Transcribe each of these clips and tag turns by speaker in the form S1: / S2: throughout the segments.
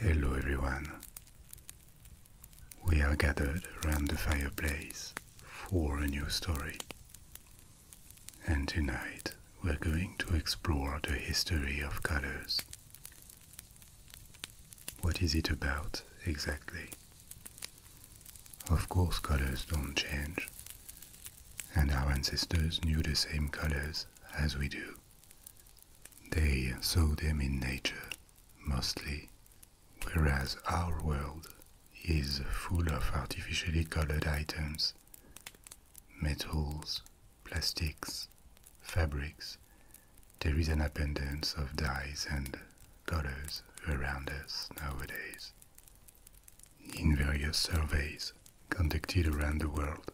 S1: Hello everyone. We are gathered around the fireplace for a new story. And tonight we're going to explore the history of colors. What is it about exactly? Of course colors don't change, and our ancestors knew the same colors as we do. They saw them in nature, mostly, whereas our world is full of artificially colored items metals, plastics, fabrics. There is an abundance of dyes and colors around us nowadays. In various surveys conducted around the world,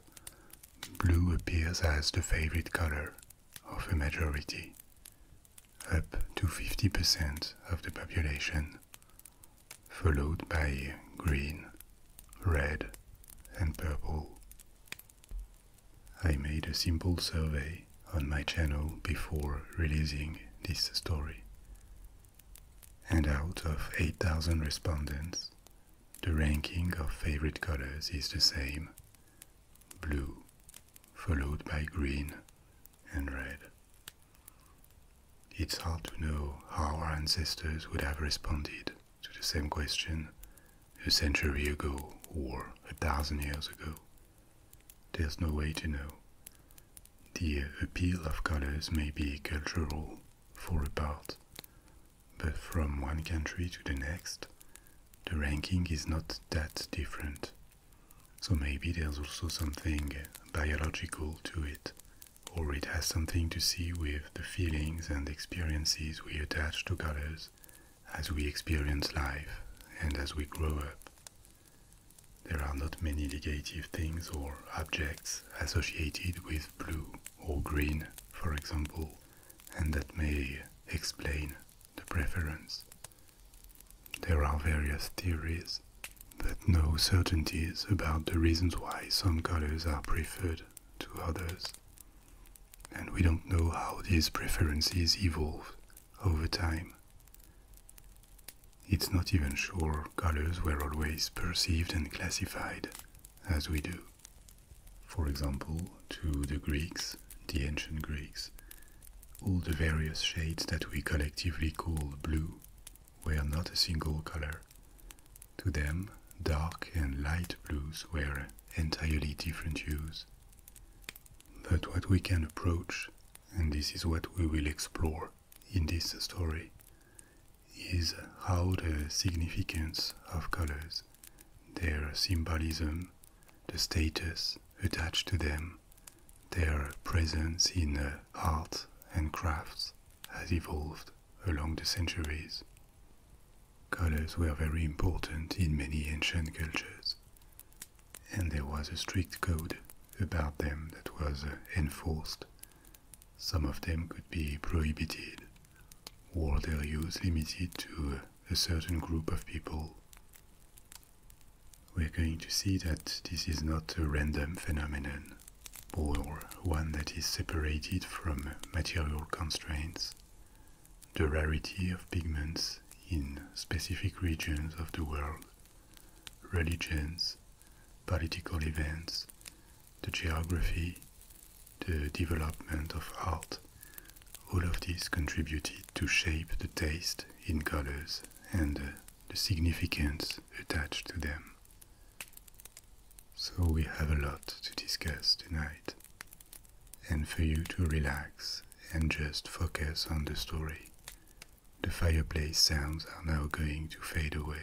S1: blue appears as the favorite color of a majority, up to 50% of the population, followed by green, red, and purple. I made a simple survey on my channel before releasing this story. And out of 8,000 respondents, the ranking of favorite colors is the same blue, followed by green and red. It's hard to know how our ancestors would have responded to the same question a century ago or a thousand years ago. There's no way to know. The appeal of colors may be cultural for a part, but from one country to the next, the ranking is not that different. So maybe there's also something biological to it, or it has something to see with the feelings and experiences we attach to colors as we experience life and as we grow up. There are not many ligative things or objects associated with blue or green, for example, and that may explain the preference. There are various theories, but no certainties about the reasons why some colors are preferred to others. And we don't know how these preferences evolve over time. It's not even sure colors were always perceived and classified as we do. For example, to the Greeks, the ancient Greeks, all the various shades that we collectively call blue were not a single color. To them, dark and light blues were entirely different hues. But what we can approach, and this is what we will explore in this story is how the significance of colors, their symbolism, the status attached to them, their presence in uh, art and crafts has evolved along the centuries. Colors were very important in many ancient cultures and there was a strict code about them that was uh, enforced. Some of them could be prohibited, or their use limited to uh, a certain group of people. We're going to see that this is not a random phenomenon, or one that is separated from material constraints. The rarity of pigments in specific regions of the world religions, political events, the geography, the development of art, all of these contributed to shape the taste in colors and the significance attached to them. So we have a lot to discuss tonight, and for you to relax and just focus on the story the fireplace sounds are now going to fade away.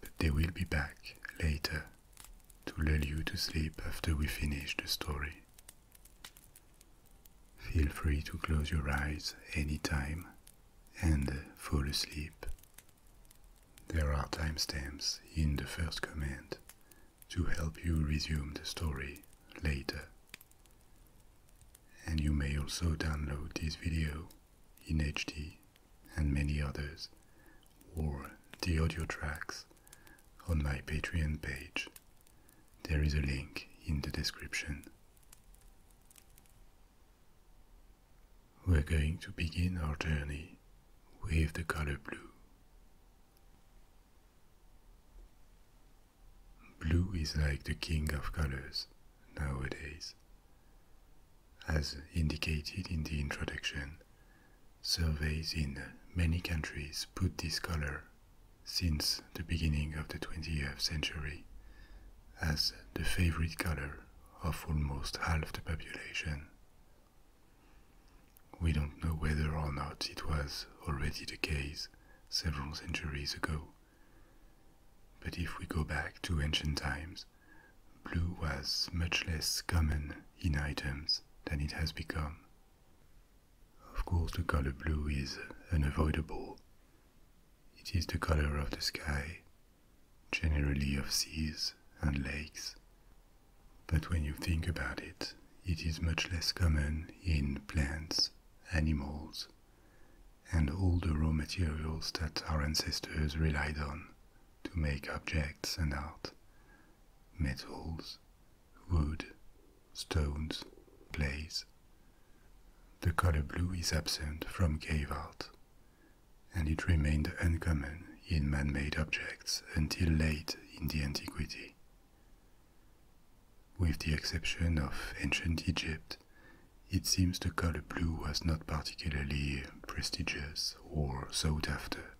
S1: But they will be back later to lull you to sleep after we finish the story. Feel free to close your eyes anytime and fall asleep. There are timestamps in the first command to help you resume the story later and you may also download this video in HD and many others, or the audio tracks on my Patreon page. There is a link in the description. We're going to begin our journey with the color blue. Blue is like the king of colors nowadays. As indicated in the introduction, surveys in many countries put this color since the beginning of the 20th century as the favorite color of almost half the population. We don't know whether or not it was already the case several centuries ago, but if we go back to ancient times, blue was much less common in items than it has become. Of course, the color blue is unavoidable. It is the color of the sky, generally of seas and lakes. But when you think about it, it is much less common in plants, animals, and all the raw materials that our ancestors relied on to make objects and art metals, wood, stones, clays. The color blue is absent from cave art, and it remained uncommon in man made objects until late in the antiquity. With the exception of ancient Egypt, it seems the color blue was not particularly prestigious or sought after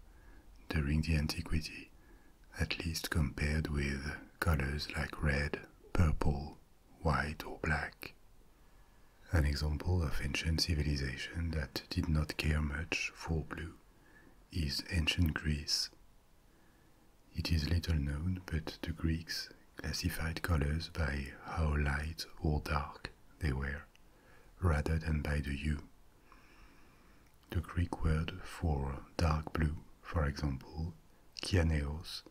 S1: during the antiquity, at least compared with colors like red, purple, white, or black. An example of ancient civilization that did not care much for blue is ancient Greece. It is little known, but the Greeks classified colors by how light or dark they were, rather than by the hue. The Greek word for dark blue, for example, kianeos,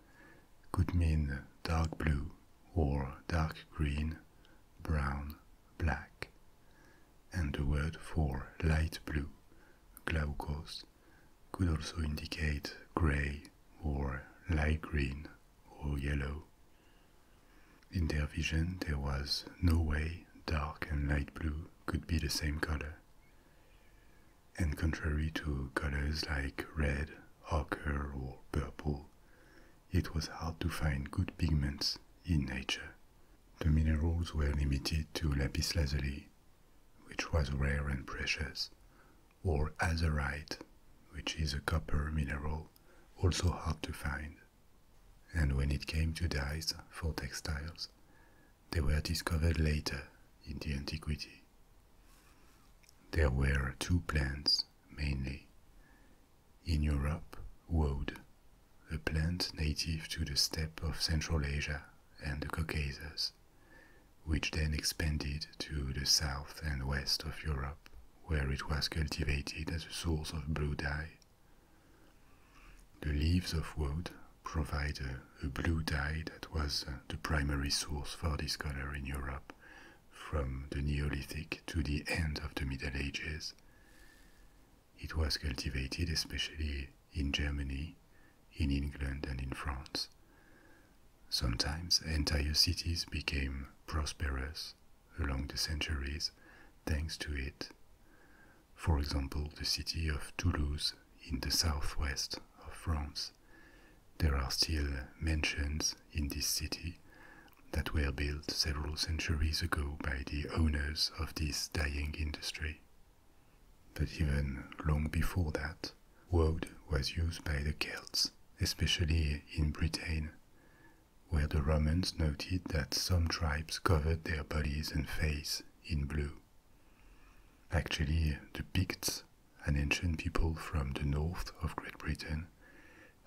S1: could mean dark blue or dark green, brown, black, and the word for light blue, glaukos, could also indicate grey or light green or yellow. In their vision, there was no way dark and light blue could be the same color. And contrary to colors like red, ochre, or purple, it was hard to find good pigments in nature. The minerals were limited to lapis lazuli, which was rare and precious, or azurite, which is a copper mineral, also hard to find. And when it came to dyes for textiles, they were discovered later in the antiquity. There were two plants mainly. In Europe, woad, a plant native to the steppe of Central Asia and the Caucasus which then expanded to the south and west of Europe, where it was cultivated as a source of blue dye. The leaves of wood provide a blue dye that was uh, the primary source for this color in Europe from the Neolithic to the end of the Middle Ages. It was cultivated especially in Germany in England and in France. Sometimes entire cities became prosperous along the centuries thanks to it. For example, the city of Toulouse in the southwest of France. There are still mansions in this city that were built several centuries ago by the owners of this dying industry. But even long before that, woad was used by the Celts, especially in Britain, where the Romans noted that some tribes covered their bodies and face in blue. Actually, the Picts, an ancient people from the north of Great Britain,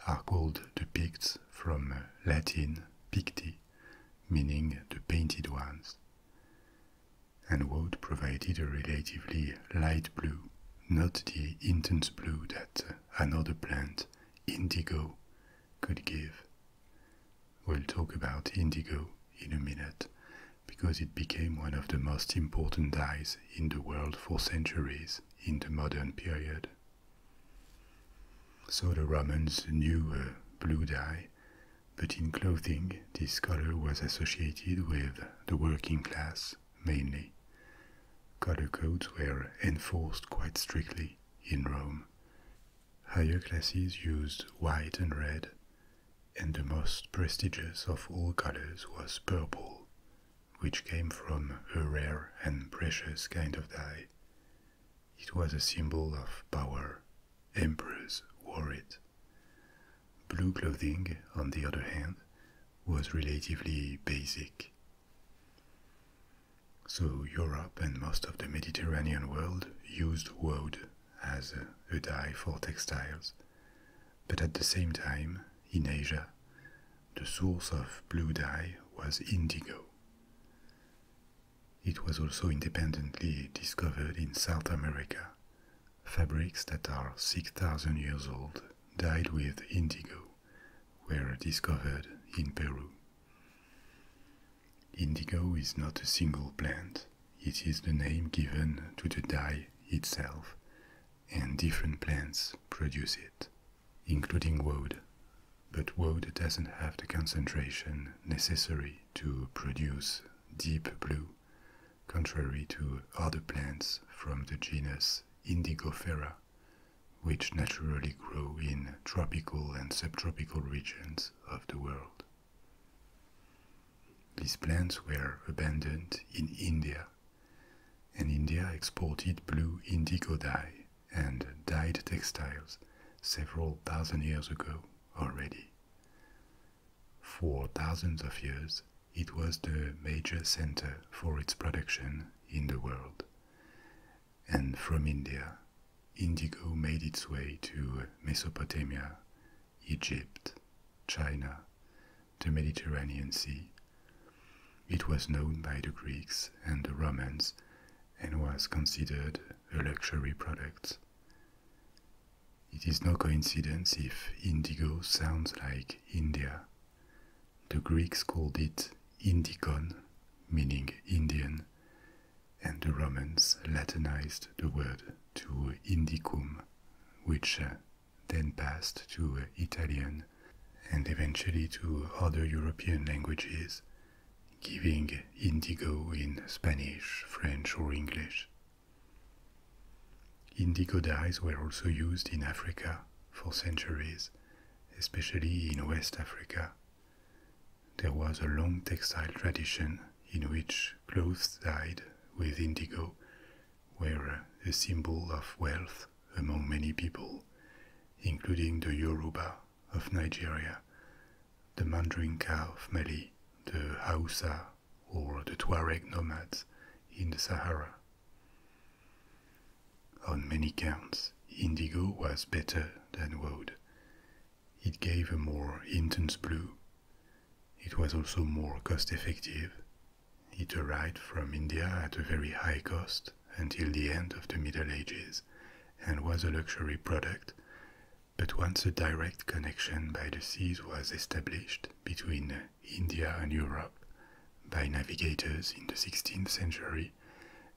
S1: are called the Picts from Latin picti, meaning the painted ones and wood provided a relatively light blue, not the intense blue that another plant, indigo, could give. We'll talk about indigo in a minute because it became one of the most important dyes in the world for centuries in the modern period. So the Romans knew a blue dye, but in clothing this color was associated with the working class mainly. Color codes were enforced quite strictly in Rome. Higher classes used white and red, and the most prestigious of all colors was purple, which came from a rare and precious kind of dye. It was a symbol of power. Emperors wore it. Blue clothing, on the other hand, was relatively basic. So Europe and most of the Mediterranean world used woad as a dye for textiles. But at the same time, in Asia, the source of blue dye was indigo. It was also independently discovered in South America fabrics that are 6,000 years old, dyed with indigo, were discovered in Peru. Indigo is not a single plant, it is the name given to the dye itself, and different plants produce it, including woad. But woad doesn't have the concentration necessary to produce deep blue, contrary to other plants from the genus Indigofera, which naturally grow in tropical and subtropical regions of the world. These plants were abundant in India, and India exported blue indigo dye and dyed textiles several thousand years ago already. For thousands of years, it was the major center for its production in the world. And from India, indigo made its way to Mesopotamia, Egypt, China, the Mediterranean Sea. It was known by the Greeks and the Romans and was considered a luxury product. It is no coincidence if indigo sounds like India. The Greeks called it indikon, meaning Indian, and the Romans Latinized the word to Indicum, which uh, then passed to Italian and eventually to other European languages, giving indigo in Spanish, French, or English. Indigo dyes were also used in Africa for centuries, especially in West Africa. There was a long textile tradition in which clothes dyed with indigo were a symbol of wealth among many people, including the Yoruba of Nigeria, the Mandinka of Mali, the Hausa or the Tuareg nomads in the Sahara. On many counts, indigo was better than wood. It gave a more intense blue. It was also more cost effective. It arrived from India at a very high cost until the end of the Middle Ages and was a luxury product. But once a direct connection by the seas was established between India and Europe by navigators in the 16th century,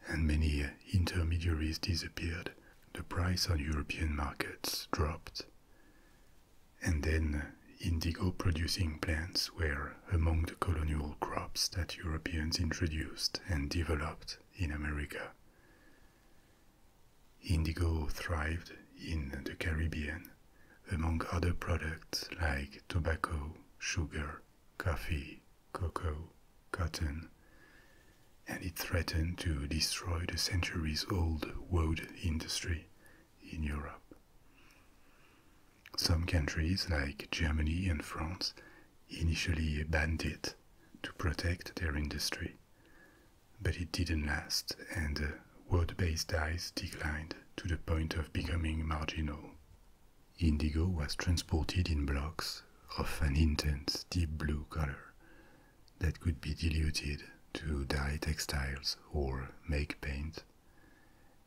S1: and many intermediaries disappeared, the price on European markets dropped. And then indigo producing plants were among the colonial crops that Europeans introduced and developed in America. Indigo thrived in the Caribbean among other products like tobacco, sugar, coffee, cocoa, cotton, and it threatened to destroy the centuries old wood industry in Europe. Some countries like Germany and France initially banned it to protect their industry, but it didn't last, and wood based dyes declined to the point of becoming marginal. Indigo was transported in blocks of an intense deep blue color that could be diluted to dye textiles or make paint,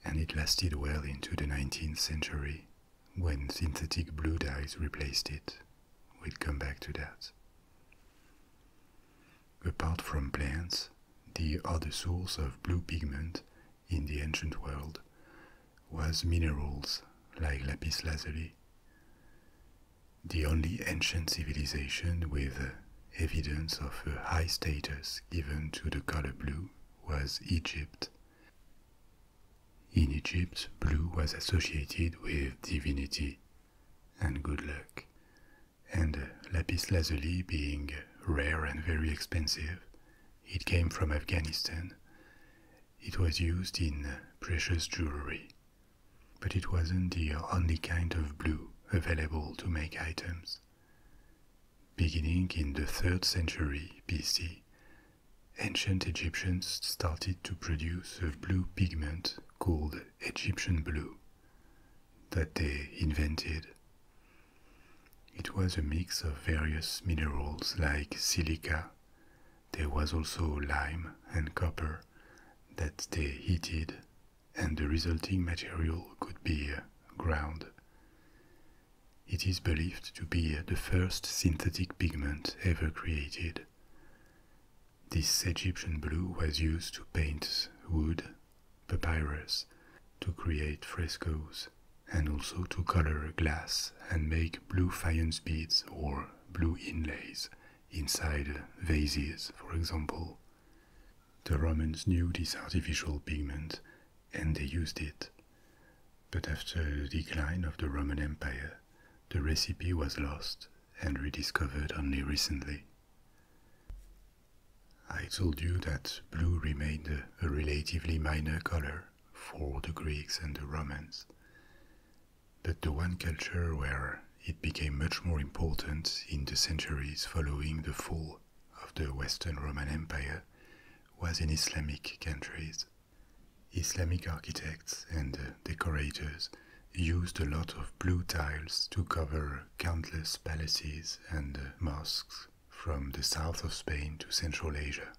S1: and it lasted well into the 19th century when synthetic blue dyes replaced it. We'll come back to that apart from plants, the other source of blue pigment in the ancient world was minerals like lapis lazuli. The only ancient civilization with evidence of a high status given to the color blue was Egypt. In Egypt, blue was associated with divinity and good luck, and lapis lazuli being rare and very expensive, it came from Afghanistan. It was used in precious jewelry, but it wasn't the only kind of blue available to make items. Beginning in the 3rd century BC, ancient Egyptians started to produce a blue pigment called Egyptian blue that they invented. It was a mix of various minerals like silica. There was also lime and copper that they heated, and the resulting material could be ground. It is believed to be the first synthetic pigment ever created. This Egyptian blue was used to paint wood papyrus to create frescoes and also to color glass and make blue faience beads or blue inlays inside vases, for example. The Romans knew this artificial pigment and they used it. But after the decline of the Roman Empire, the recipe was lost and rediscovered only recently. I told you that blue remained a relatively minor color for the Greeks and the Romans. But the one culture where it became much more important in the centuries following the fall of the Western Roman Empire was in Islamic countries. Islamic architects and decorators used a lot of blue tiles to cover countless palaces and mosques from the south of Spain to Central Asia.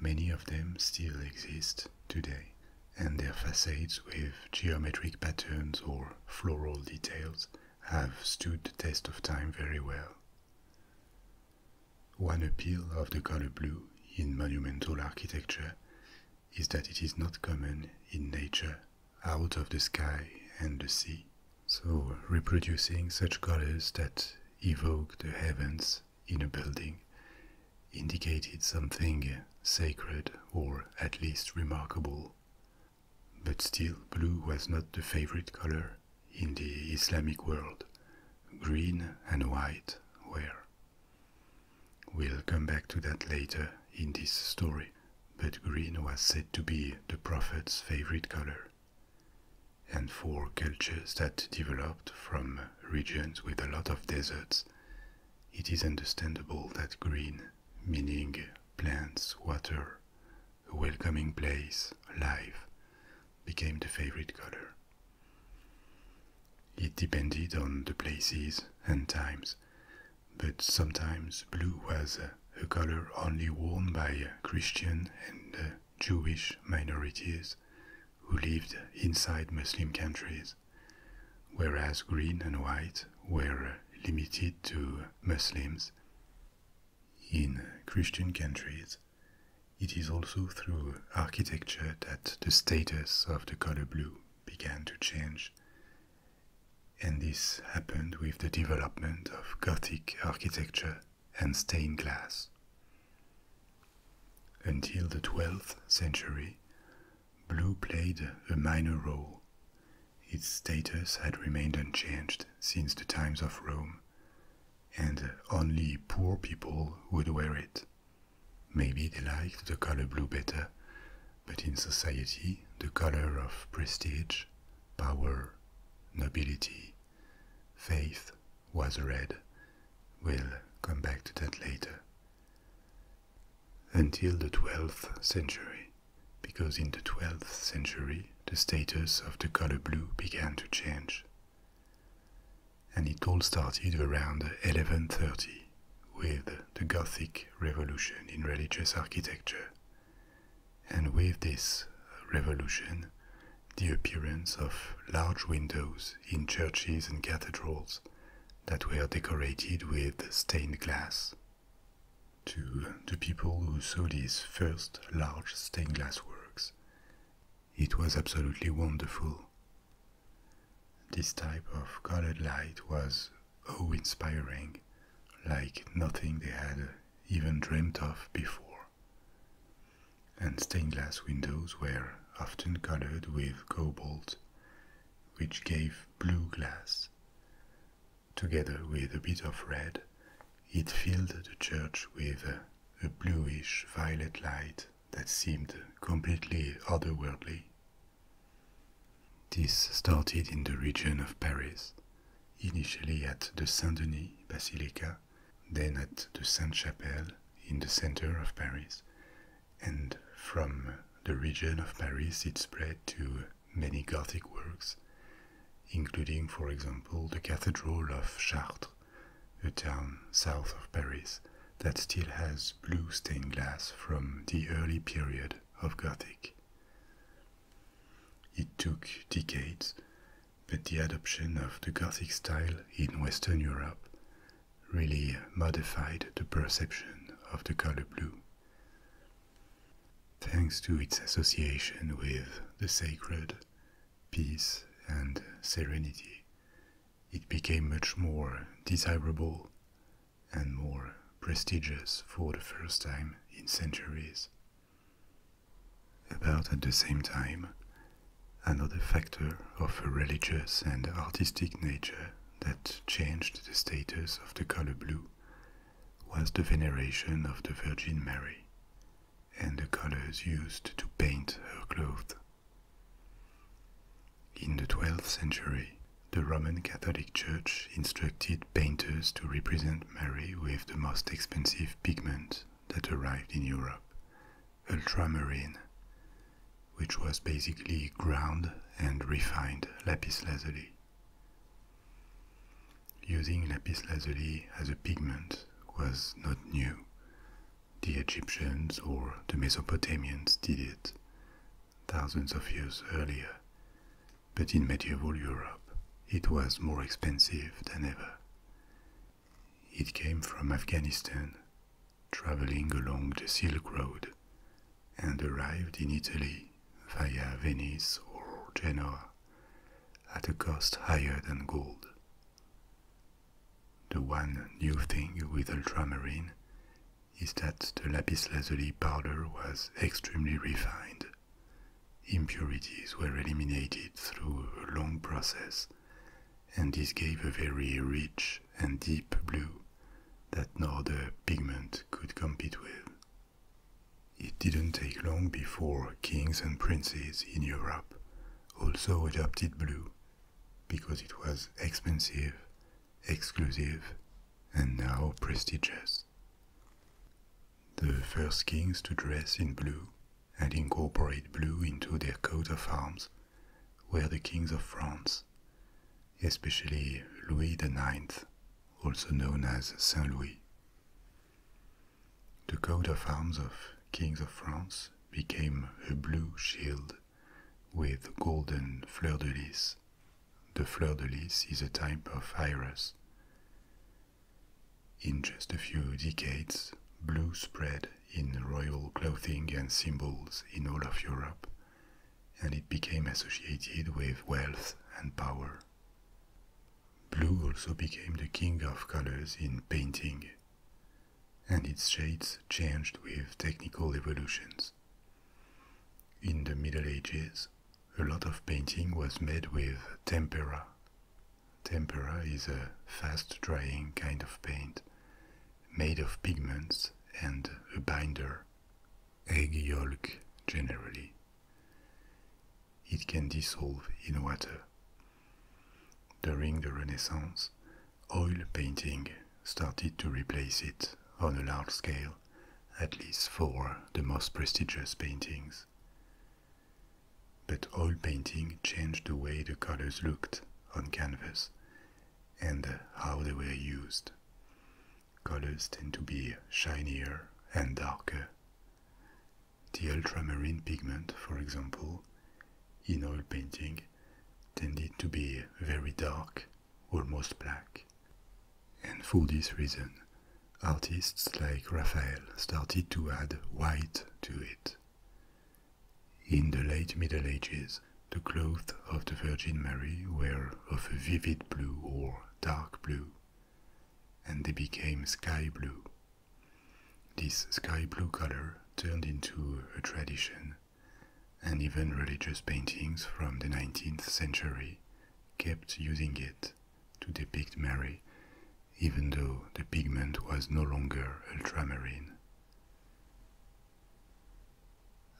S1: Many of them still exist today, and their facades with geometric patterns or floral details have stood the test of time very well. One appeal of the color blue in monumental architecture is that it is not common in nature out of the sky and the sea, so reproducing such colors that evoke the heavens in a building indicated something sacred or at least remarkable. But still, blue was not the favorite color in the Islamic world. Green and white were. We'll come back to that later in this story but green was said to be the prophet's favorite color. And for cultures that developed from regions with a lot of deserts, it is understandable that green, meaning plants, water, a welcoming place, life, became the favorite color. It depended on the places and times, but sometimes blue was a color only worn by Christian and Jewish minorities who lived inside Muslim countries, whereas green and white were limited to Muslims. In Christian countries, it is also through architecture that the status of the color blue began to change, and this happened with the development of Gothic architecture and stained glass. Until the 12th century, blue played a minor role. Its status had remained unchanged since the times of Rome, and only poor people would wear it. Maybe they liked the color blue better, but in society, the color of prestige power, nobility, faith was red. We'll come back to that later. Until the 12th century, because in the 12th century the status of the color blue began to change. And it all started around 1130 with the Gothic revolution in religious architecture and with this revolution, the appearance of large windows in churches and cathedrals that were decorated with stained glass. To the people who saw these first large stained glass works, it was absolutely wonderful. This type of colored light was awe oh, inspiring, like nothing they had even dreamed of before. And stained glass windows were often colored with cobalt, which gave blue glass. Together with a bit of red, it filled the church with a bluish violet light that seemed completely otherworldly. This started in the region of Paris, initially at the Saint Denis Basilica, then at the Sainte Chapelle in the center of Paris, and from the region of Paris it spread to many Gothic works, including, for example, the Cathedral of Chartres, a town south of Paris that still has blue stained glass from the early period of Gothic. It took decades, but the adoption of the Gothic style in Western Europe really modified the perception of the color blue. Thanks to its association with the sacred, peace, and serenity, it became much more desirable and more prestigious for the first time in centuries. About at the same time, another factor of a religious and artistic nature that changed the status of the color blue was the veneration of the Virgin Mary and the colors used to paint her clothes. In the 12th century, the Roman Catholic Church instructed painters to represent Mary with the most expensive pigment that arrived in Europe, ultramarine, which was basically ground and refined lapis lazuli. Using lapis lazuli as a pigment was not new. The Egyptians or the Mesopotamians did it thousands of years earlier, but in medieval Europe it was more expensive than ever. It came from Afghanistan, traveling along the Silk Road, and arrived in Italy via Venice or Genoa at a cost higher than gold. The one new thing with ultramarine is that the lapis lazuli powder was extremely refined Impurities were eliminated through a long process, and this gave a very rich and deep blue that no other pigment could compete with. It didn't take long before kings and princes in Europe also adopted blue because it was expensive, exclusive, and now prestigious the first kings to dress in blue and incorporate blue into their coat of arms were the kings of France, especially Louis IX, also known as Saint Louis. The coat of arms of kings of France became a blue shield with golden fleur de lis. The fleur de lis is a type of iris. In just a few decades, blue spread in royal clothing and symbols in all of Europe, and it became associated with wealth and power. Blue also became the king of colors in painting, and its shades changed with technical evolutions. In the Middle Ages, a lot of painting was made with tempera. Tempera is a fast drying kind of paint made of pigments and a binder, egg yolk generally. It can dissolve in water. During the Renaissance, oil painting started to replace it on a large scale, at least for the most prestigious paintings. But oil painting changed the way the colors looked on canvas and how they were used. Colors tend to be shinier and darker. The ultramarine pigment, for example, in oil painting tended to be very dark, almost black. And for this reason, artists like Raphael started to add white to it. In the late Middle Ages, the clothes of the Virgin Mary were of a vivid blue or dark blue, and they became sky blue. This sky blue color turned into a tradition, and even religious paintings from the 19th century kept using it to depict Mary, even though the pigment was no longer ultramarine.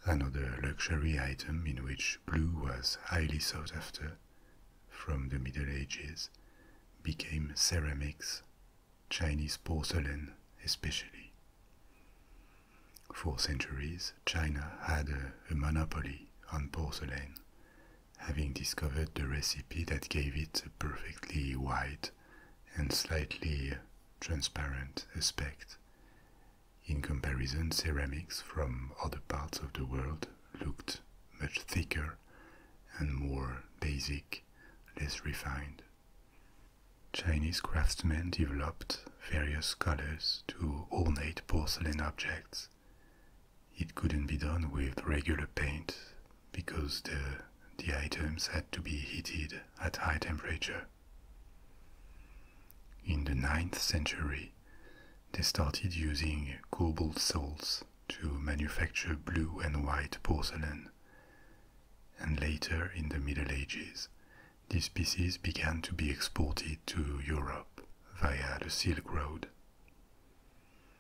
S1: Another luxury item in which blue was highly sought after from the Middle Ages became ceramics, Chinese porcelain especially. For centuries, China had a monopoly on porcelain, having discovered the recipe that gave it a perfectly white and slightly transparent aspect. In comparison, ceramics from other parts of the world looked much thicker and more basic, less refined. Chinese craftsmen developed various colors to ornate porcelain objects it couldn't be done with regular paint because the, the items had to be heated at high temperature. In the 9th century, they started using cobalt salts to manufacture blue and white porcelain. And later, in the Middle Ages, these pieces began to be exported to Europe via the Silk Road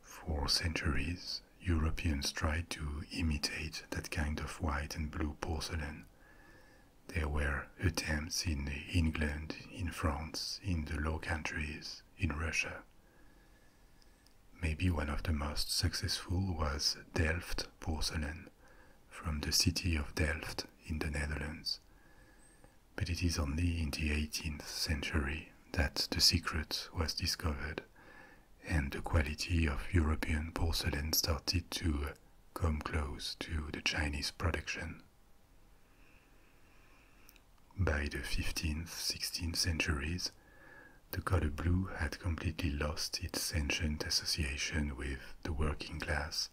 S1: for centuries, Europeans tried to imitate that kind of white and blue porcelain. There were attempts in England, in France, in the Low Countries, in Russia. Maybe one of the most successful was Delft porcelain from the city of Delft in the Netherlands but it is only in the 18th century that the secret was discovered and the quality of European porcelain started to come close to the Chinese production. By the 15th, 16th centuries, the color blue had completely lost its ancient association with the working class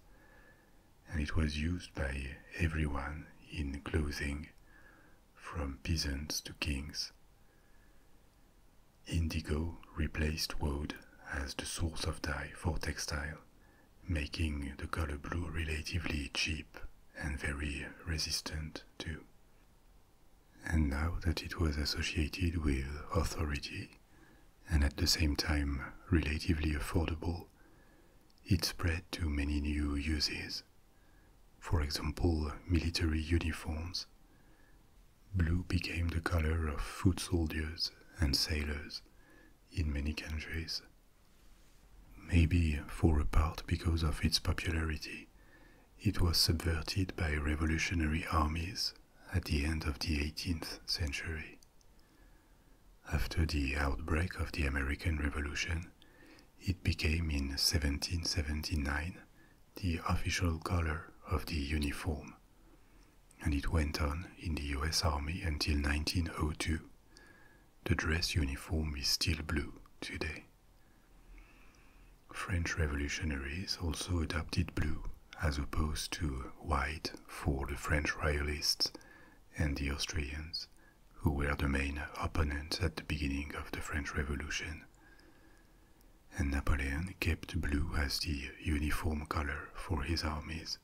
S1: and it was used by everyone in clothing, from peasants to kings. Indigo replaced wood as the source of dye for textile, making the color blue relatively cheap and very resistant too. And now that it was associated with authority and at the same time relatively affordable, it spread to many new uses for example, military uniforms. Blue became the color of foot soldiers and sailors in many countries. Maybe for a part because of its popularity, it was subverted by revolutionary armies at the end of the 18th century. After the outbreak of the American Revolution, it became in 1779 the official color of the uniform, and it went on in the US Army until 1902. The dress uniform is still blue today. French revolutionaries also adopted blue as opposed to white for the French royalists and the Austrians, who were the main opponents at the beginning of the French Revolution. And Napoleon kept blue as the uniform color for his armies,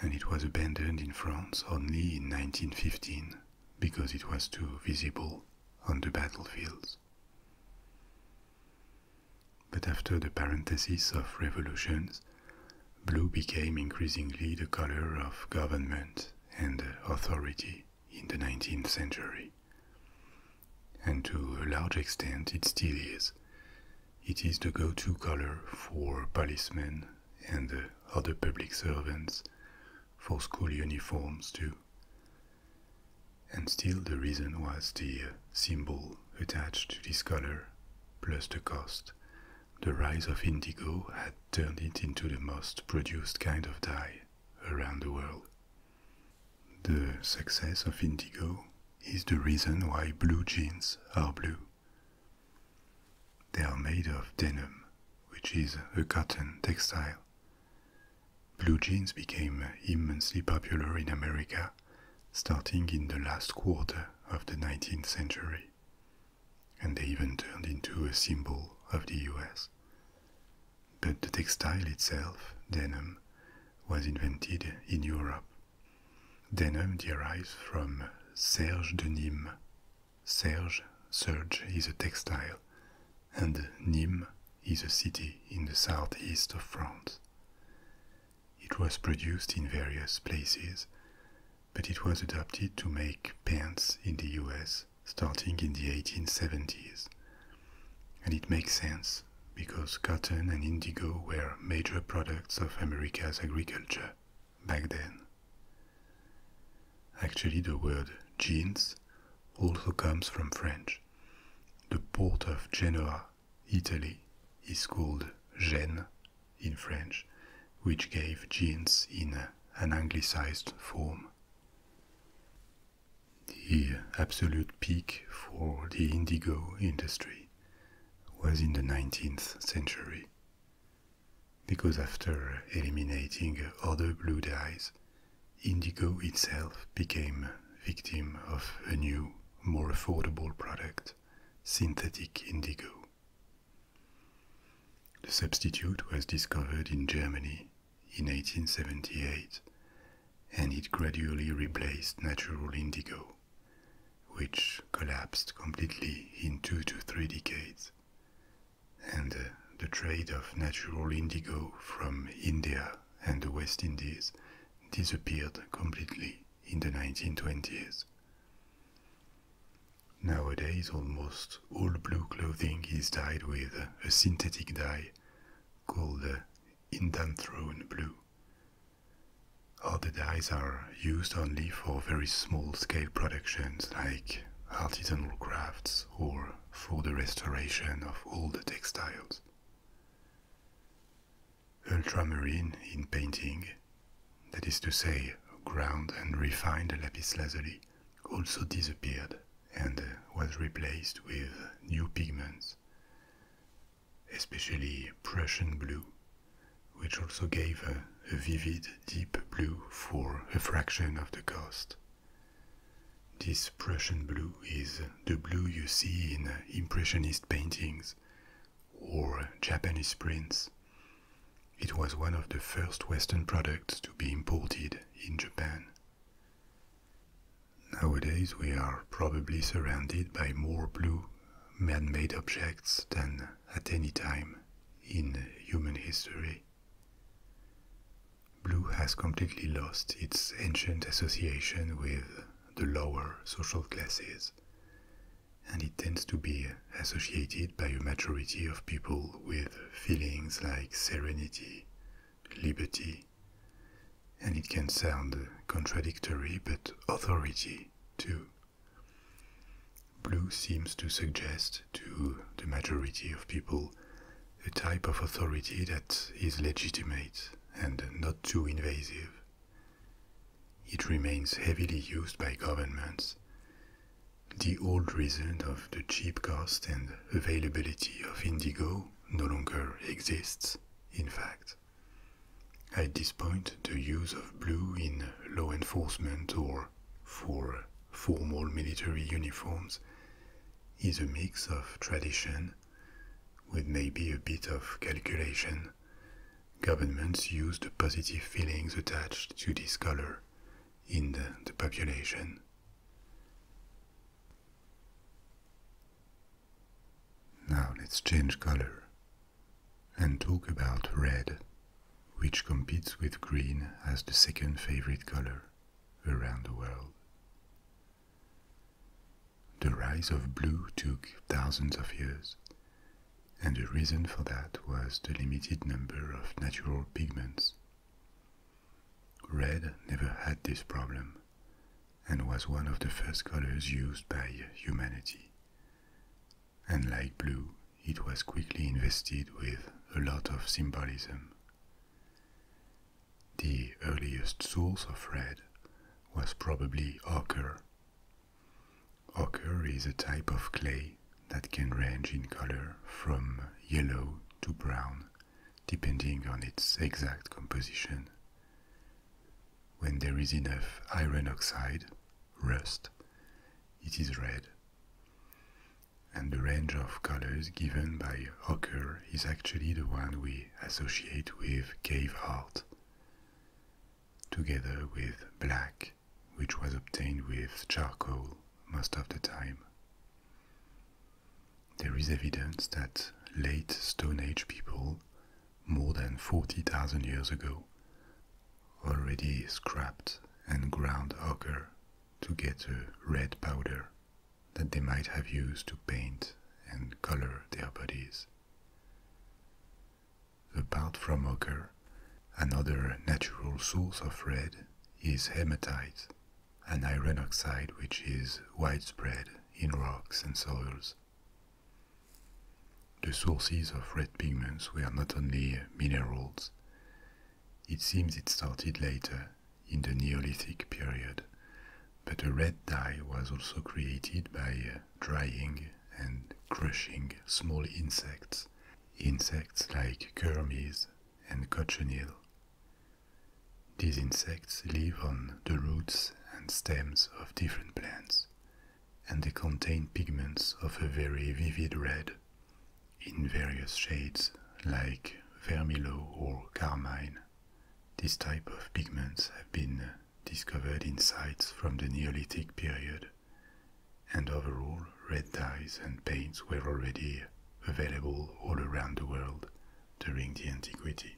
S1: and it was abandoned in France only in 1915 because it was too visible on the battlefields. But after the parenthesis of revolutions, blue became increasingly the color of government and authority in the 19th century. And to a large extent, it still is. It is the go to color for policemen and other public servants, for school uniforms too. And still, the reason was the symbol attached to this color, plus the cost the rise of indigo had turned it into the most produced kind of dye around the world. The success of indigo is the reason why blue jeans are blue. They are made of denim, which is a cotton textile. Blue jeans became immensely popular in America starting in the last quarter of the 19th century and they even turned into a symbol of the US. But the textile itself, denim, was invented in Europe. Denim derives from serge de Nîmes. Serge, serge is a textile, and Nîmes is a city in the southeast of France. It was produced in various places, but it was adopted to make pants in the US starting in the 1870s. And it makes sense because cotton and indigo were major products of America's agriculture back then. Actually, the word jeans also comes from French. The port of Genoa, Italy, is called Gen in French, which gave jeans in an anglicized form. The absolute peak for the indigo industry was in the 19th century, because after eliminating other blue dyes, indigo itself became victim of a new, more affordable product, synthetic indigo. The substitute was discovered in Germany in 1878 and it gradually replaced natural indigo, which collapsed completely in two to three decades. And uh, the trade of natural indigo from India and the West Indies disappeared completely in the 1920s. Nowadays, almost all blue clothing is dyed with a synthetic dye called uh, indanthrone blue. Other dyes are used only for very small scale productions like artisanal crafts or for the restoration of old textiles. Ultramarine in painting, that is to say, ground and refined lapis lazuli, also disappeared and uh, was replaced with new pigments, especially Prussian blue, which also gave a, vivid deep blue for a fraction of the cost. This Prussian blue is the blue you see in Impressionist paintings or Japanese prints. It was one of the first Western products to be imported in Japan. Nowadays, we are probably surrounded by more blue man made objects than at any time in human history. Blue has completely lost its ancient association with the lower social classes, and it tends to be associated by a majority of people with feelings like serenity, liberty, and it can sound contradictory but authority too. Blue seems to suggest to the majority of people a type of authority that is legitimate and not too invasive. It remains heavily used by governments the old reason of the cheap cost and availability of indigo no longer exists, in fact. At this point, the use of blue in law enforcement or for formal military uniforms is a mix of tradition, with maybe a bit of calculation. Governments use the positive feelings attached to this color in the, population. Now let's change color and talk about red, which competes with green as the second favorite color around the world. The rise of blue took thousands of years, and the reason for that was the limited number of natural pigments Red never had this problem and was one of the first colors used by humanity. And like blue, it was quickly invested with a lot of symbolism. The earliest source of red was probably ochre. Ochre is a type of clay that can range in color from yellow to brown, depending on its exact composition. When there is enough iron oxide, rust, it is red. And the range of colors given by ochre is actually the one we associate with cave art, together with black which was obtained with charcoal most of the time. There is evidence that late Stone Age people, more than 40,000 years ago, already scraped and ground ochre to get a red powder that they might have used to paint and color their bodies. Apart from ochre, Another natural source of red is hematite, an iron oxide which is widespread in rocks and soils. The sources of red pigments were not only minerals. It seems it started later, in the Neolithic period, but a red dye was also created by drying and crushing small insects, insects like kermes and cochineal. These insects live on the roots and stems of different plants, and they contain pigments of a very vivid red in various shades like vermilion or carmine. This type of pigments have been discovered in sites from the Neolithic period and overall, red dyes and paints were already available all around the world during the antiquity.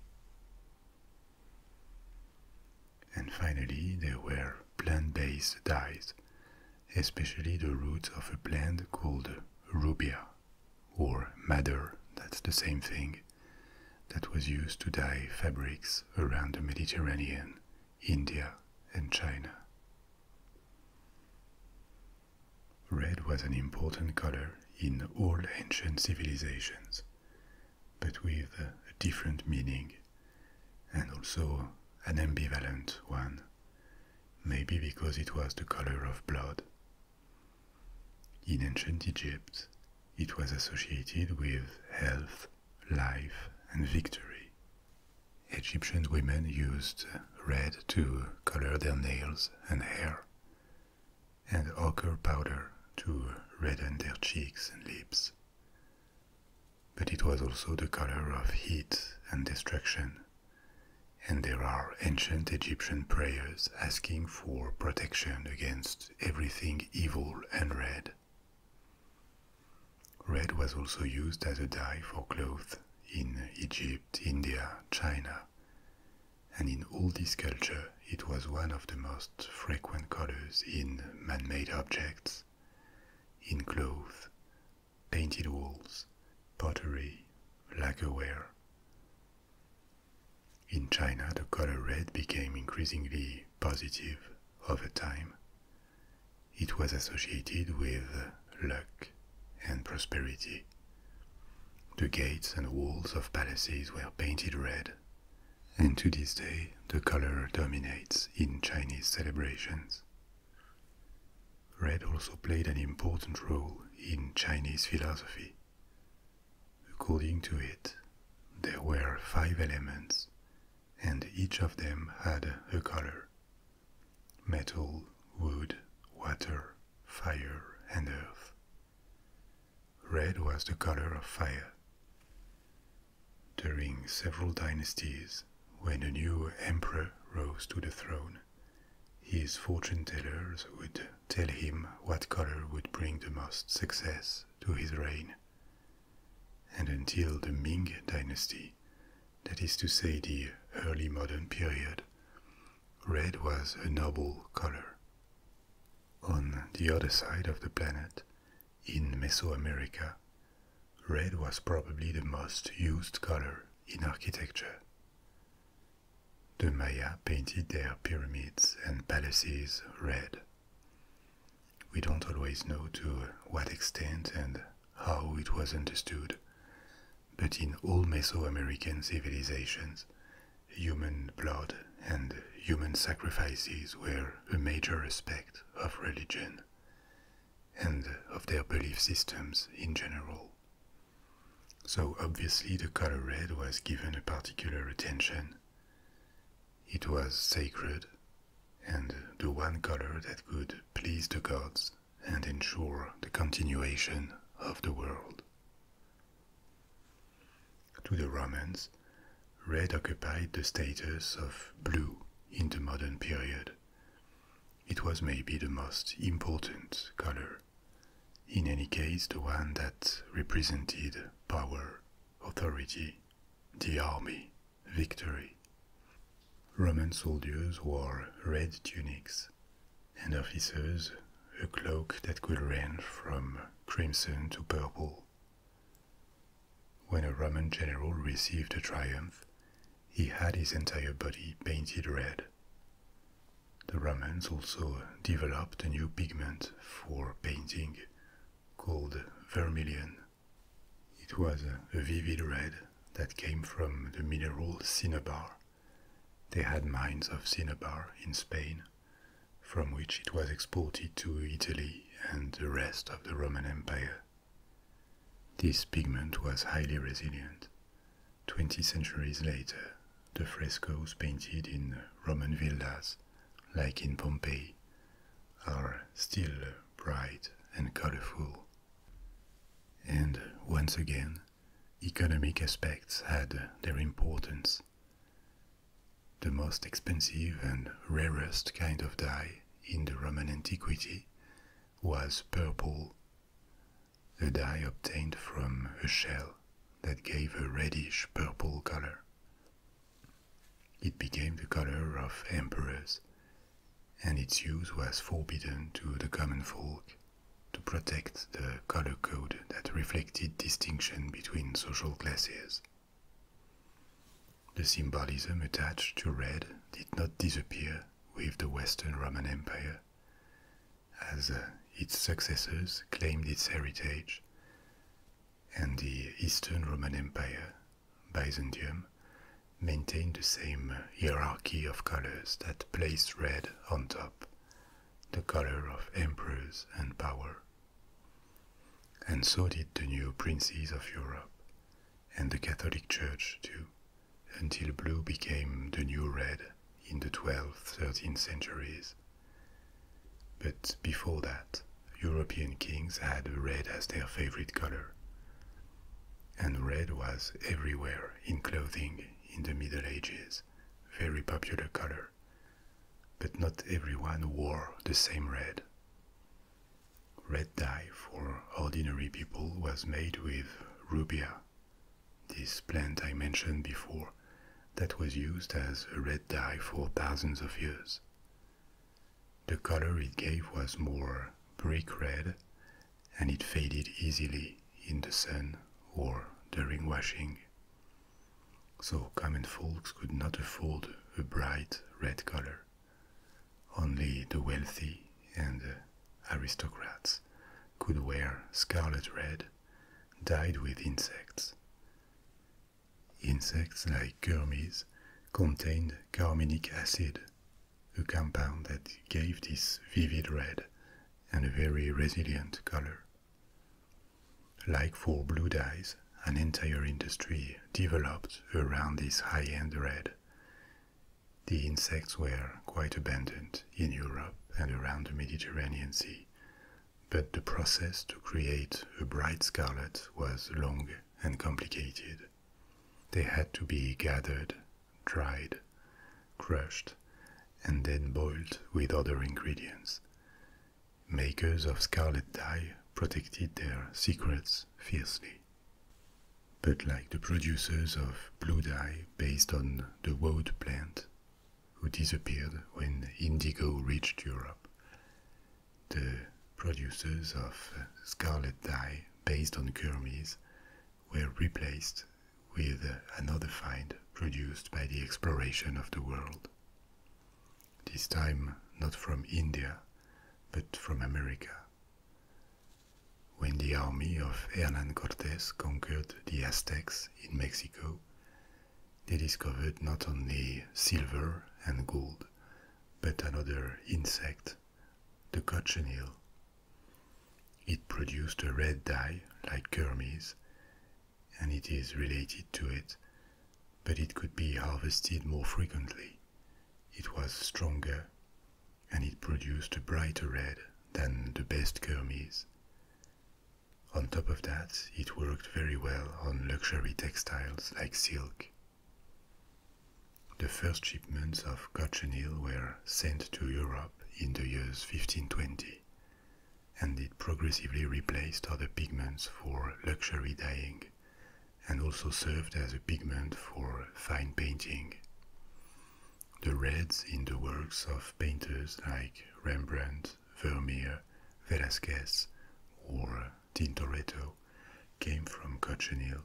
S1: And finally, there were plant-based dyes, especially the roots of a plant called rubia or madder, that's the same thing, that was used to dye fabrics around the Mediterranean, India, and China. Red was an important color in all ancient civilizations, but with a different meaning and also an ambivalent one, maybe because it was the color of blood. In ancient Egypt, it was associated with health, life, and victory. Egyptian women used red to color their nails and hair, and ochre powder to redden their cheeks and lips. But it was also the color of heat and destruction, and there are ancient Egyptian prayers asking for protection against everything evil and red. Red was also used as a dye for cloth in Egypt, India, China, and in all these cultures, it was one of the most frequent colors in man-made objects, in cloth, painted walls, pottery, lacquerware. In China, the color red became increasingly positive over time. It was associated with luck and prosperity. The gates and walls of palaces were painted red, and to this day the color dominates in Chinese celebrations. Red also played an important role in Chinese philosophy. According to it, there were five elements, and each of them had a color metal, wood, water, fire, and earth. Red was the color of fire. During several dynasties, when a new emperor rose to the throne, his fortune tellers would tell him what color would bring the most success to his reign. And until the Ming dynasty, that is to say, the early modern period, red was a noble color. On the other side of the planet, in Mesoamerica, red was probably the most used color in architecture. The Maya painted their pyramids and palaces red. We don't always know to what extent and how it was understood, but in all Mesoamerican civilizations, human blood and human sacrifices were a major aspect of religion and of their belief systems in general. So obviously the color red was given a particular attention. It was sacred and the one color that could please the gods and ensure the continuation of the world. To the Romans, red occupied the status of blue in the modern period. It was maybe the most important color, in any case, the one that represented power, authority, the army, victory. Roman soldiers wore red tunics, and officers a cloak that could range from crimson to purple. When a Roman general received a triumph, he had his entire body painted red. The Romans also developed a new pigment for painting called vermilion. It was a vivid red that came from the mineral cinnabar. They had mines of cinnabar in Spain, from which it was exported to Italy and the rest of the Roman Empire. This pigment was highly resilient. Twenty centuries later, the frescoes painted in Roman villas, like in Pompeii, are still bright and colorful and once again, economic aspects had their importance. The most expensive and rarest kind of dye in the Roman antiquity was purple, a dye obtained from a shell that gave a reddish purple color. It became the color of emperors and its use was forbidden to the common folk to protect the color code that reflected distinction between social classes. The symbolism attached to red did not disappear with the Western Roman Empire, as uh, its successors claimed its heritage, and the Eastern Roman Empire, Byzantium, Maintained the same hierarchy of colors that placed red on top, the color of emperors and power. And so did the new princes of Europe, and the Catholic Church too, until blue became the new red in the 12th, 13th centuries. But before that, European kings had red as their favorite color, and red was everywhere in clothing in the Middle Ages, very popular color. But not everyone wore the same red. Red dye for ordinary people was made with rubia, this plant I mentioned before, that was used as a red dye for thousands of years. The color it gave was more brick red and it faded easily in the sun or during washing. So common folks could not afford a bright red color. Only the wealthy and aristocrats could wear scarlet red dyed with insects. Insects like kermes contained carminic acid, a compound that gave this vivid red and a very resilient color. Like for blue dyes, an entire industry developed around this high-end red. The insects were quite abundant in Europe and around the Mediterranean Sea, but the process to create a bright scarlet was long and complicated. They had to be gathered dried, crushed, and then boiled with other ingredients. Makers of scarlet dye protected their secrets fiercely. But like the producers of blue dye based on the woad plant, who disappeared when indigo reached Europe, the producers of scarlet dye based on kermes were replaced with another find produced by the exploration of the world. This time not from India, but from America. When the army of Hernan Cortes conquered the Aztecs in Mexico, they discovered not only silver and gold, but another insect, the cochineal, it produced a red dye like kermes, and it is related to it, but it could be harvested more frequently. It was stronger, and it produced a brighter red than the best kermes. On top of that, it worked very well on luxury textiles like silk. The first shipments of cochineal were sent to Europe in the years 1520, and it progressively replaced other pigments for luxury dyeing and also served as a pigment for fine painting. The reds in the works of painters like Rembrandt, Vermeer, Velázquez, or Tintoretto came from cochineal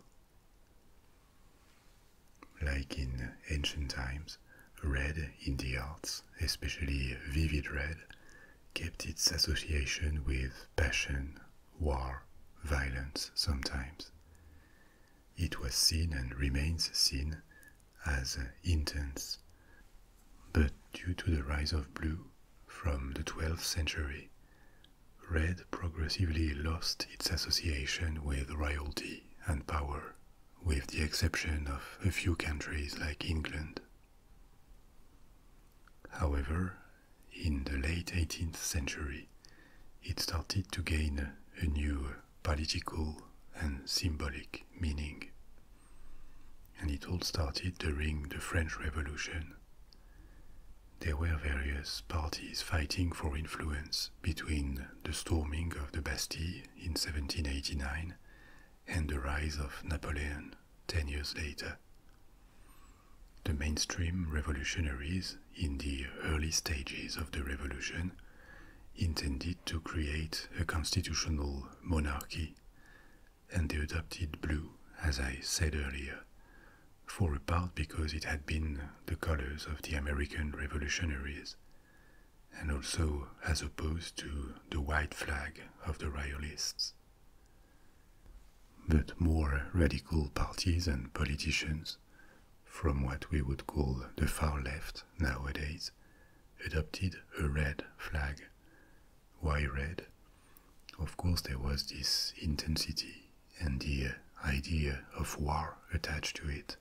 S1: like in ancient times, red in the arts, especially vivid red, kept its association with passion, war, violence sometimes. It was seen and remains seen as intense. But due to the rise of blue from the 12th century, red progressively lost its association with royalty and power, with the exception of a few countries like England. However, in the late 18th century, it started to gain a new political and symbolic meaning. And it all started during the French Revolution. There were various parties fighting for influence between the storming of the Bastille in 1789 and the rise of Napoleon ten years later. The mainstream revolutionaries in the early stages of the revolution intended to create a constitutional monarchy, and they adopted blue, as I said earlier, for a part because it had been the colors of the American revolutionaries and also as opposed to the white flag of the Royalists. But more radical parties and politicians, from what we would call the far left nowadays, adopted a red flag. Why red? Of course, there was this intensity and the idea of war attached to it,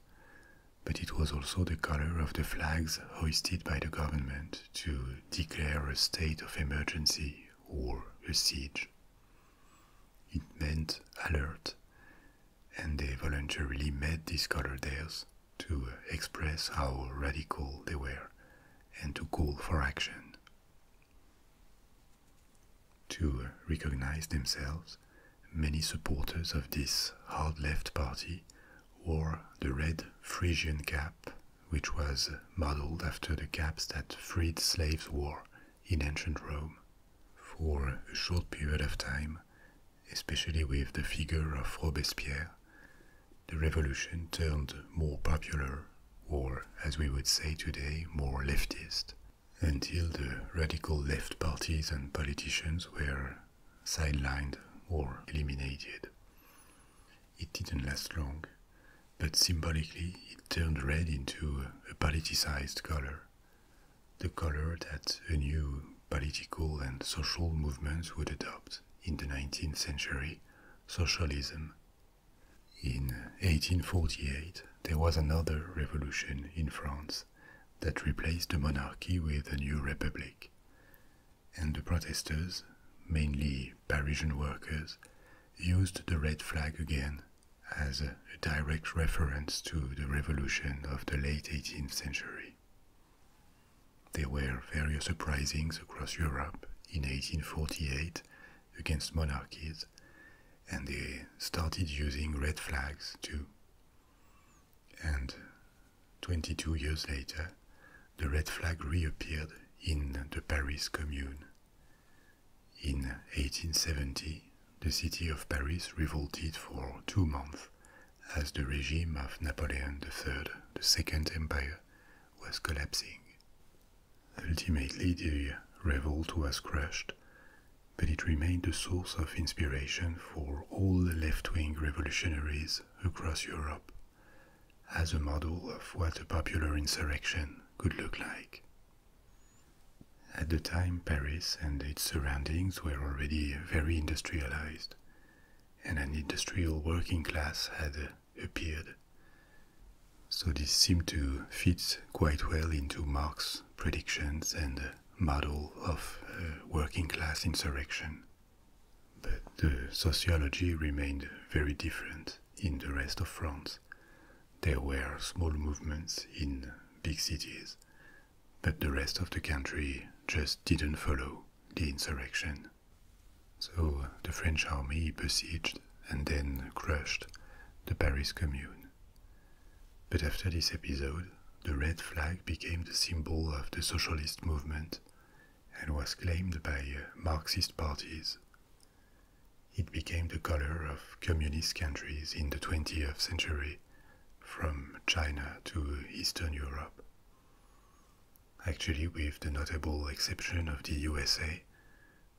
S1: but it was also the color of the flags hoisted by the government to declare a state of emergency or a siege. It meant alert, and they voluntarily made this color theirs to express how radical they were and to call for action. To recognize themselves, many supporters of this hard left party wore the red Frisian cap, which was modeled after the caps that freed slaves wore in ancient Rome. For a short period of time, especially with the figure of Robespierre, the revolution turned more popular, or as we would say today, more leftist, until the radical left parties and politicians were sidelined or eliminated. It didn't last long, but symbolically it turned red into a politicized color, the color that a new political and social movements would adopt in the 19th century socialism. In 1848, there was another revolution in France that replaced the monarchy with a new republic. And the protesters, mainly Parisian workers, used the red flag again as a direct reference to the revolution of the late 18th century. There were various uprisings across Europe in 1848 against monarchies, and they started using red flags too. And 22 years later, the red flag reappeared in the Paris Commune. In 1870, the city of Paris revolted for two months as the regime of Napoleon III, the Second Empire, was collapsing. Ultimately, the revolt was crushed, but it remained a source of inspiration for all the left wing revolutionaries across Europe as a model of what a popular insurrection could look like. At the time, Paris and its surroundings were already very industrialized, and an industrial working class had appeared. So this seemed to fit quite well into Marx's predictions and model of uh, working class insurrection, but the sociology remained very different in the rest of France. There were small movements in big cities, but the rest of the country just didn't follow the insurrection. So uh, the French army besieged and then crushed the Paris Commune. But after this episode, the red flag became the symbol of the socialist movement and was claimed by uh, Marxist parties. It became the color of communist countries in the 20th century, from China to Eastern Europe. Actually, with the notable exception of the USA,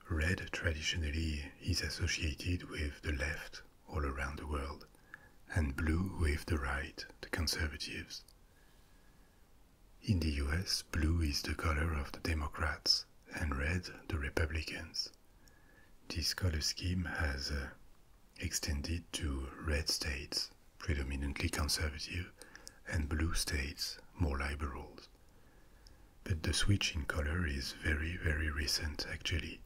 S1: red traditionally is associated with the left all around the world and blue with the right, the conservatives. In the US, blue is the color of the Democrats and red the Republicans. This color scheme has uh, extended to red states, predominantly conservative, and blue states, more liberal. But the switch in color is very, very recent actually.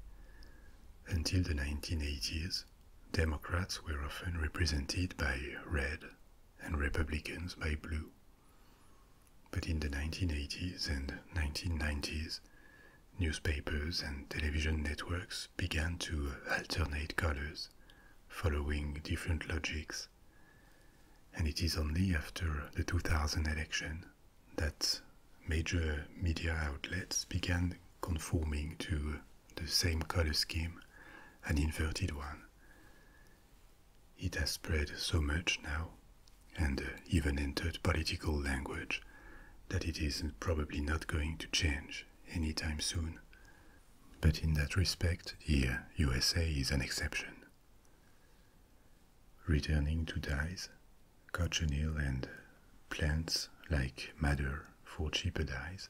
S1: Until the 1980s, Democrats were often represented by red and Republicans by blue. But in the 1980s and 1990s, newspapers and television networks began to alternate colors, following different logics. And it is only after the 2000 election that major media outlets began conforming to the same color scheme, an inverted one. It has spread so much now, and uh, even entered political language, that it is probably not going to change any time soon. But in that respect, the USA is an exception. Returning to dyes, cochineal and plants like madder for cheaper dyes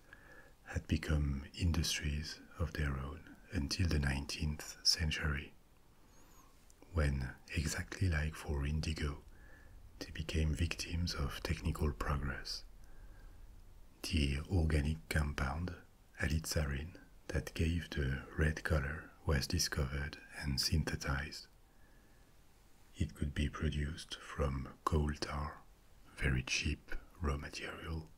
S1: had become industries of their own until the 19th century, when, exactly like for indigo, they became victims of technical progress. The organic compound, alizarin, that gave the red color was discovered and synthesized. It could be produced from coal tar, very cheap raw material.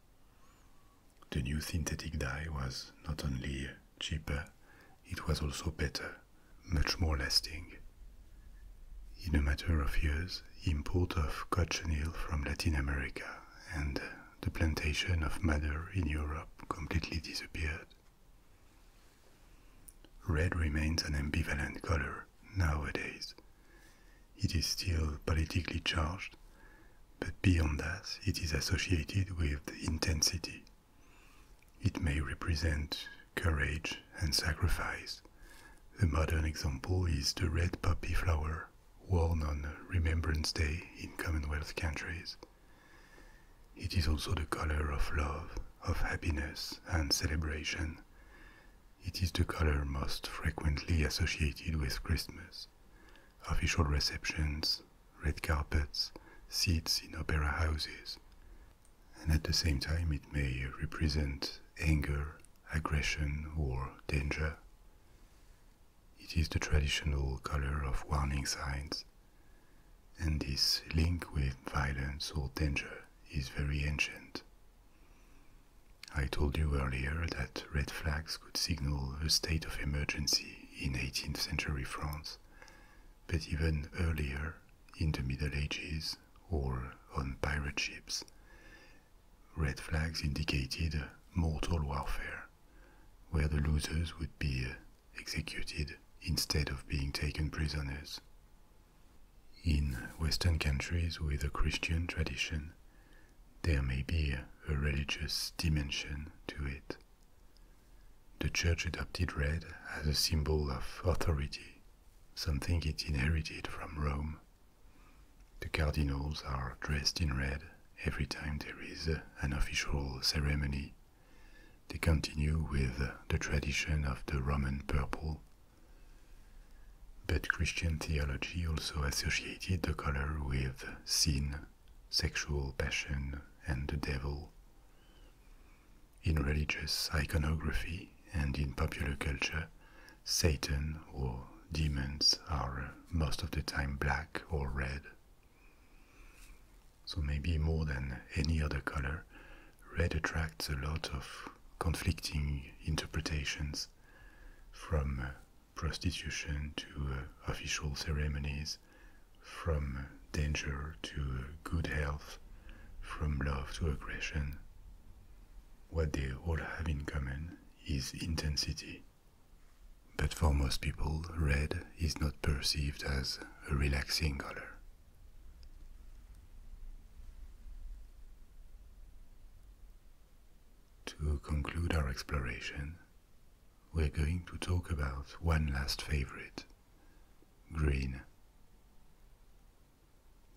S1: The new synthetic dye was not only cheaper, it was also better, much more lasting. In a matter of years, import of cochineal from Latin America and the plantation of madder in Europe completely disappeared. Red remains an ambivalent color nowadays. It is still politically charged, but beyond that, it is associated with intensity. It may represent courage and sacrifice. The modern example is the red poppy flower worn on Remembrance Day in Commonwealth countries. It is also the color of love, of happiness, and celebration. It is the color most frequently associated with Christmas. Official receptions, red carpets, seats in opera houses. And at the same time, it may represent anger, aggression, or danger. It is the traditional color of warning signs and this link with violence or danger is very ancient. I told you earlier that red flags could signal a state of emergency in 18th century France, but even earlier, in the Middle Ages or on pirate ships, red flags indicated mortal warfare, where the losers would be executed instead of being taken prisoners. In Western countries with a Christian tradition, there may be a religious dimension to it. The church adopted red as a symbol of authority, something it inherited from Rome. The cardinals are dressed in red every time there is an official ceremony. They continue with the tradition of the Roman purple but Christian theology also associated the color with sin, sexual passion, and the devil. In religious iconography and in popular culture, Satan or demons are most of the time black or red. So, maybe more than any other color, red attracts a lot of conflicting interpretations, from uh, prostitution to uh, official ceremonies, from uh, danger to good health, from love to aggression. What they all have in common is intensity. But for most people, red is not perceived as a relaxing color. To conclude our exploration, we're going to talk about one last favorite green.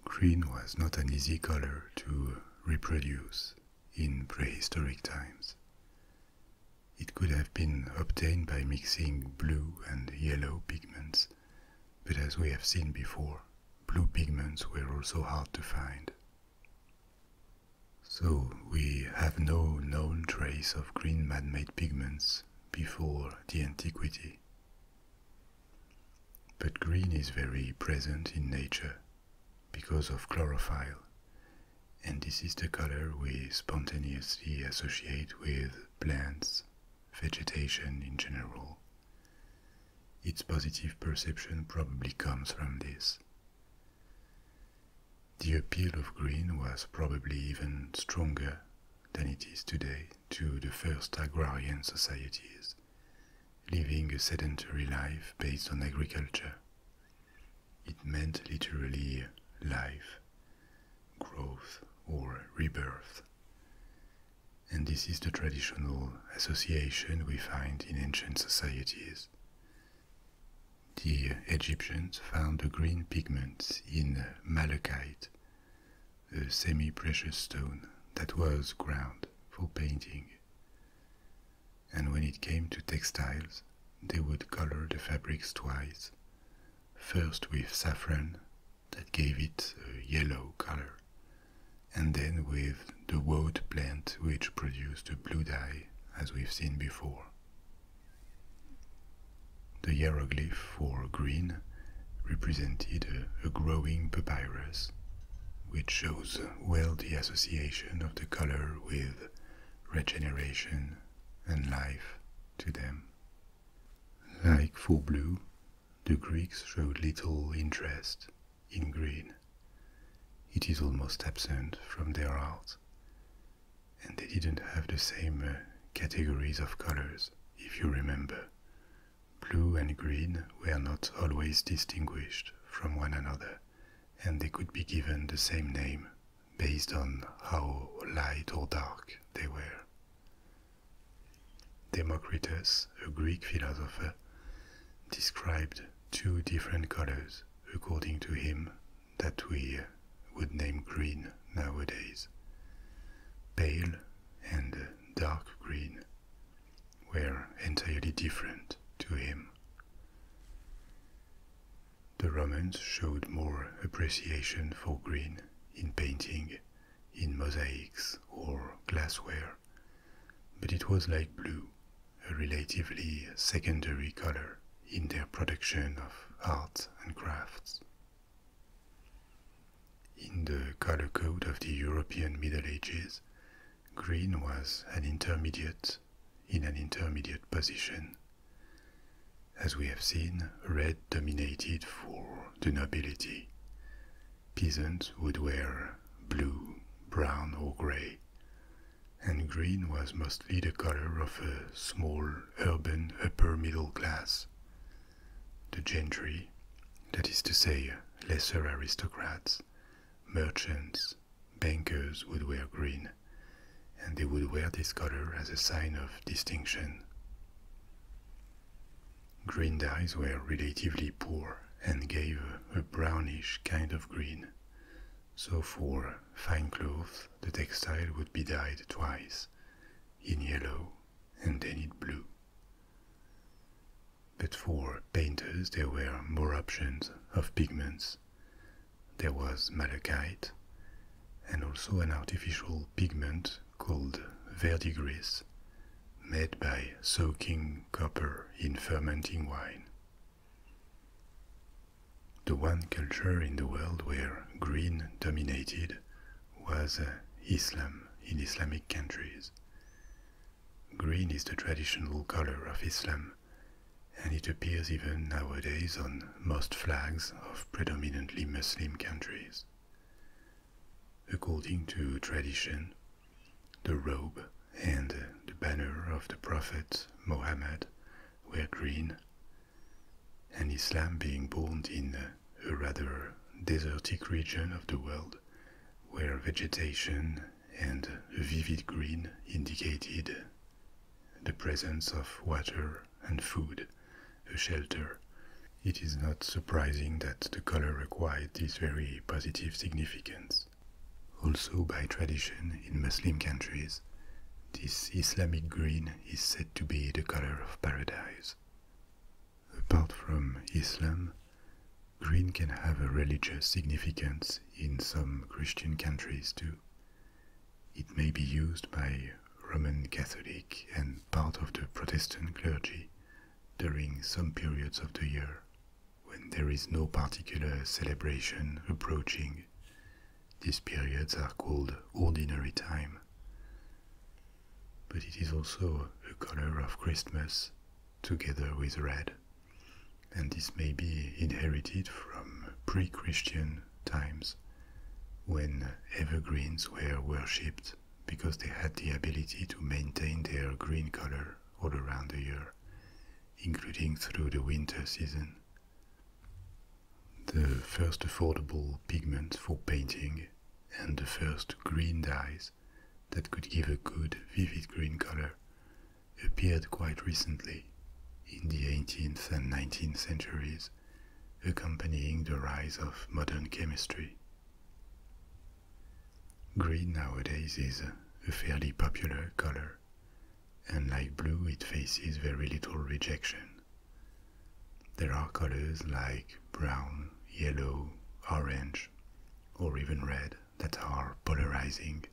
S1: Green was not an easy color to reproduce in prehistoric times. It could have been obtained by mixing blue and yellow pigments, but as we have seen before, blue pigments were also hard to find. So we have no known trace of green man-made pigments before the antiquity. But green is very present in nature because of chlorophyll, and this is the color we spontaneously associate with plants vegetation in general. Its positive perception probably comes from this. The appeal of green was probably even stronger than it is today to the first agrarian societies, living a sedentary life based on agriculture. It meant literally life, growth, or rebirth and this is the traditional association we find in ancient societies. The Egyptians found the green pigment in malachite, a semi precious stone that was ground for painting. And when it came to textiles, they would color the fabrics twice first with saffron that gave it a yellow color, and then with the woad plant which produced a blue dye, as we've seen before. The hieroglyph for green represented a, a growing papyrus, which shows well the association of the color with regeneration and life to them. Like for blue, the Greeks showed little interest in green. It is almost absent from their art, and they didn't have the same uh, categories of colors, if you remember. Blue and green were not always distinguished from one another, and they could be given the same name based on how light or dark they were. Democritus, a Greek philosopher, described two different colors, according to him, that we would name green nowadays pale and dark green were entirely different to him. The Romans showed more appreciation for green in painting in mosaics or glassware, but it was like blue, a relatively secondary color in their production of art and crafts. In the color code of the European Middle Ages, green was an intermediate in an intermediate position. As we have seen, red dominated for the nobility. Peasants would wear blue, brown, or grey, and green was mostly the colour of a small urban upper middle class. The gentry, that is to say, lesser aristocrats, merchants, bankers would wear green, and they would wear this colour as a sign of distinction. Green dyes were relatively poor and gave a brownish kind of green. So for fine cloth, the textile would be dyed twice, in yellow and then in blue. But for painters, there were more options of pigments. There was malachite, and also an artificial pigment called verdigris, made by soaking copper in fermenting wine. The one culture in the world where green dominated was uh, Islam in Islamic countries. Green is the traditional color of Islam, and it appears even nowadays on most flags of predominantly Muslim countries. According to tradition, the robe and the banner of the Prophet Mohammed were green, and Islam being born in a rather desertic region of the world where vegetation and vivid green indicated the presence of water and food a shelter, it is not surprising that the color acquired this very positive significance. Also, by tradition in Muslim countries, this Islamic green is said to be the color of paradise. Apart from Islam, green can have a religious significance in some Christian countries too. It may be used by Roman Catholic and part of the Protestant clergy during some periods of the year when there is no particular celebration approaching. These periods are called ordinary time. But it is also a color of Christmas together with red, and this may be inherited from pre Christian times when evergreens were worshipped because they had the ability to maintain their green color all around the year, including through the winter season. The first affordable pigment for painting and the first green dyes that could give a good vivid green color appeared quite recently in the 18th and 19th centuries, accompanying the rise of modern chemistry. Green nowadays is a fairly popular color, and like blue, it faces very little rejection. There are colors like brown, yellow, orange, or even red that are polarizing,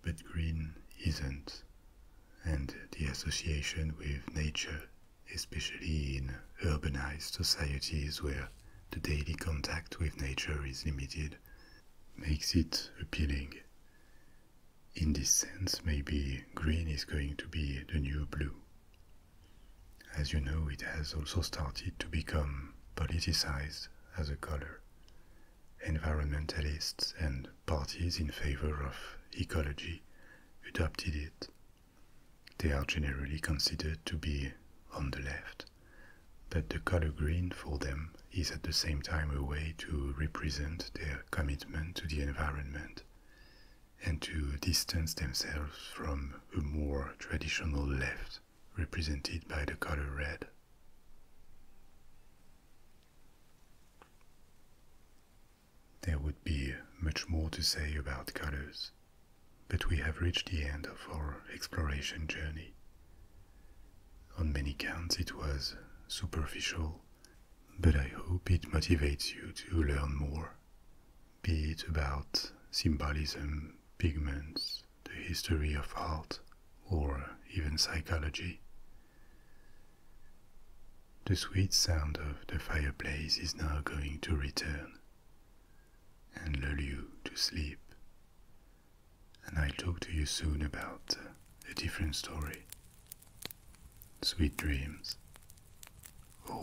S1: but green isn't, and the association with nature especially in urbanized societies where the daily contact with nature is limited, makes it appealing. In this sense, maybe green is going to be the new blue. As you know, it has also started to become politicized as a color. Environmentalists and parties in favor of ecology adopted it they are generally considered to be on the left, but the color green for them is at the same time a way to represent their commitment to the environment and to distance themselves from a more traditional left represented by the color red. There would be much more to say about colors, but we have reached the end of our exploration journey. On many counts, it was superficial, but I hope it motivates you to learn more, be it about symbolism, pigments, the history of art, or even psychology. The sweet sound of the fireplace is now going to return and lull you to sleep. And I'll talk to you soon about uh, a different story. Sweet dreams. Au